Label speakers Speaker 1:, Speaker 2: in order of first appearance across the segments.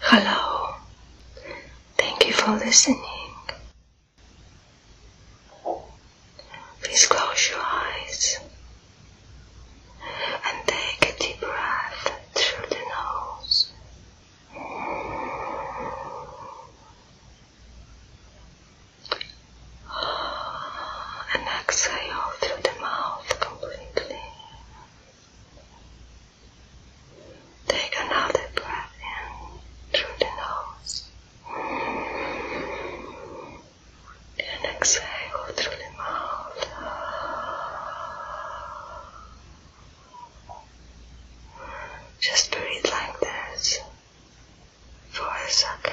Speaker 1: Hello. Thank you for listening. Please close your eyes and take a deep breath through the nose. And exhale through the mouth completely. Take another breath in through the nose and exhale through the mouth. Just breathe like this for a second.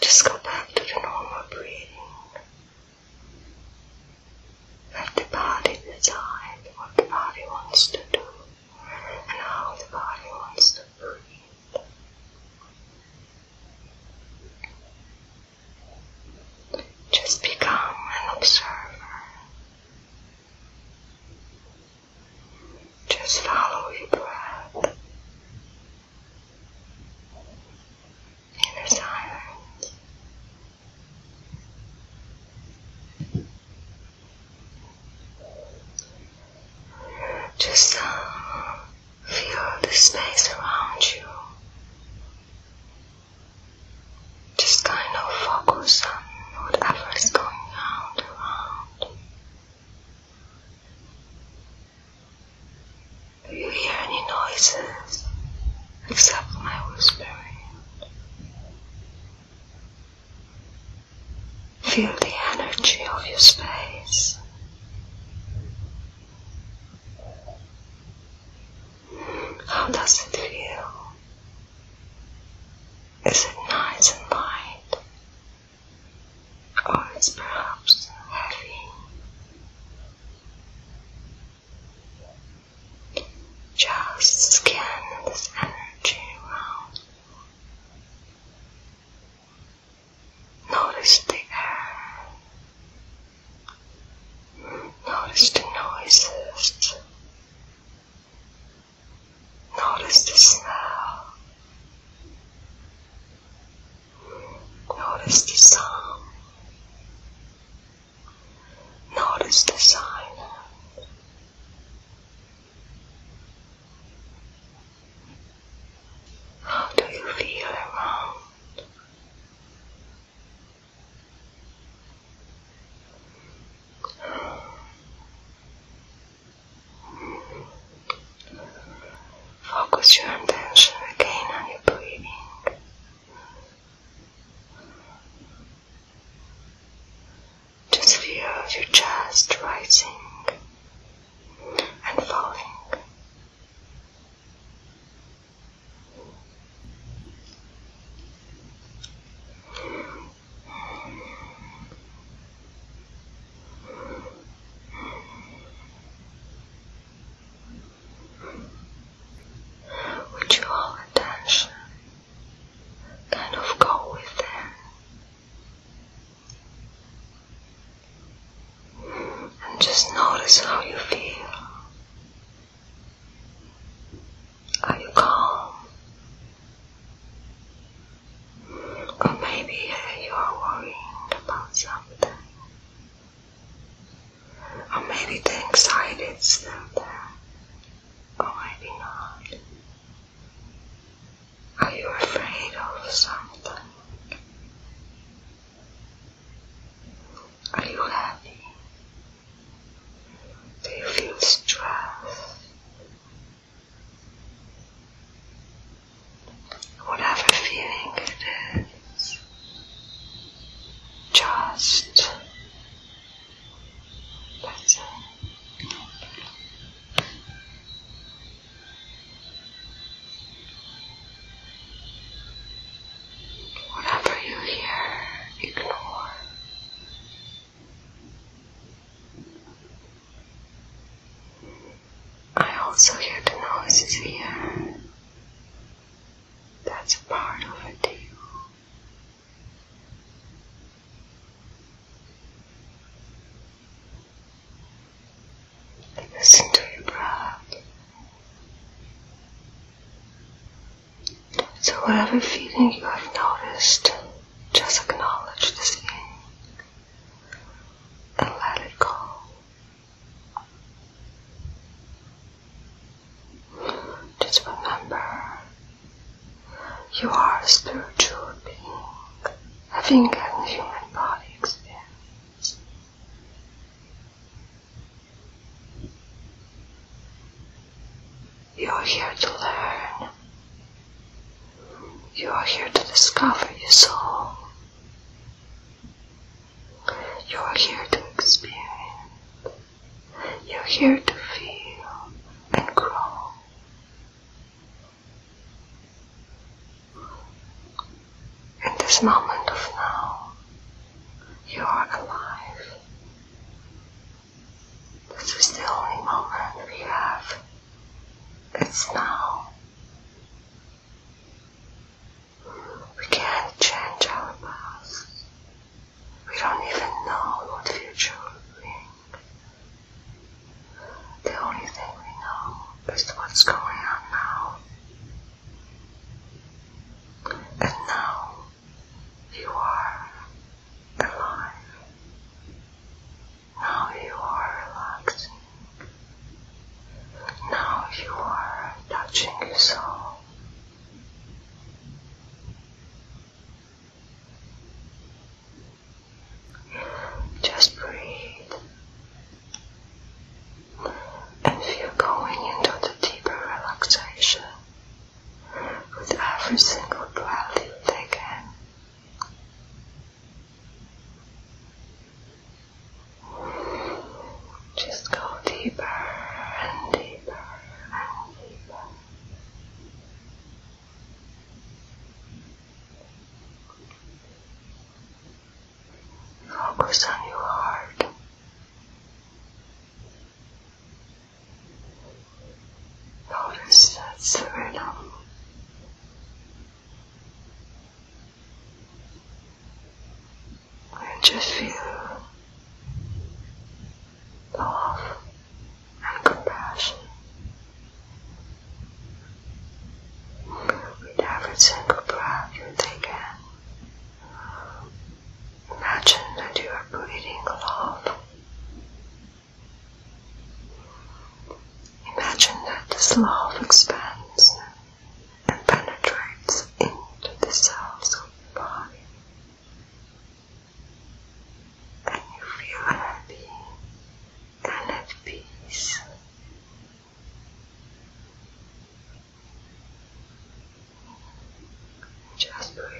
Speaker 1: Just go back to the normal breathing of the body decide what the body wants to do and how the body wants to breathe. Just become an observer just follow your breath inner silence. Just uh, feel the space around you. Just kind of focus on whatever is going on around. Do you hear any noises except my whispering? Feel the energy of your space. How does it feel? Is it nice and light? Or is perhaps heavy? Just scan this energy around. Notice the air Notice the noises. Notice the smell. Notice the sound. Notice the silence. How do you feel around? Focus your attention again on your breathing. Just feel your chest rising and falling. Would you all attention kind of go with them and just notice how you feel? Are you calm? Or maybe uh, you are worrying about something. Or maybe the anxiety is Or maybe not. Are you afraid of something? Are you happy? Do you feel stress? Whatever feeling it is, just that's it. Whatever you hear, ignore. I also hear the noises here. That's part of it too. Listen to your breath. So, whatever feeling you have noticed, just acknowledge this feeling and let it go. Just remember you are a spiritual being having a human body experience. You're here to learn. You are here to discover your soul. You are here to experience. You're here to feel and grow. In this moment of now, you are alive. This is the only moment we have. It's now. We can't change our past. We don't even know what future will bring. The only thing we know is what's going on now. And now you are alive. Now you are relaxing. Now you are touching yourself. Just breathe if you're going into the deeper relaxation with every single breath you take in, just go deeper and deeper and deeper. Focus on your heart. Notice that's the rhythm. And just feel love and compassion. Read every single breath you take in. Imagine that you are breathing love. Imagine that this love expands and penetrates into the cells of your body. And you feel happy then let peace just breathe.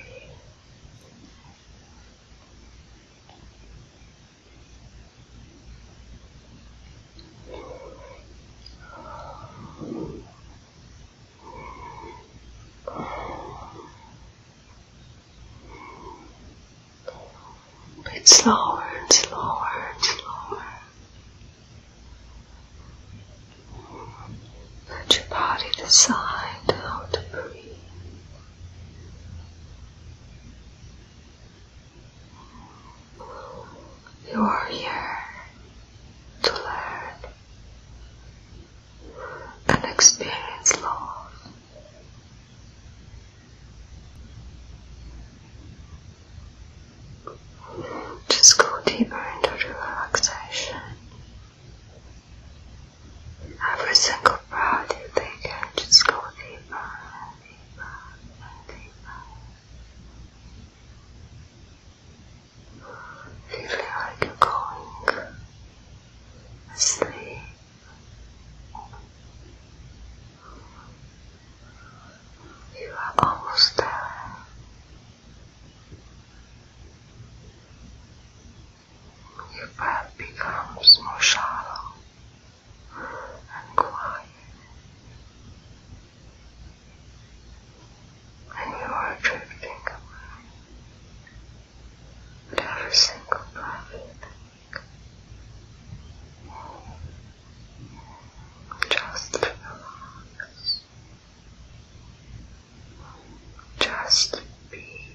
Speaker 1: It's slower and slower and slower. Let your body decide how to breathe. You are here to learn and experience love. Just go deeper into relaxation. Every single breath you take just go deeper and deeper deeper. Feeling like you're going asleep. You are almost there. Your breath becomes more shallow and quiet, and you are drifting away. And every single breath you take. Just relax. Just be.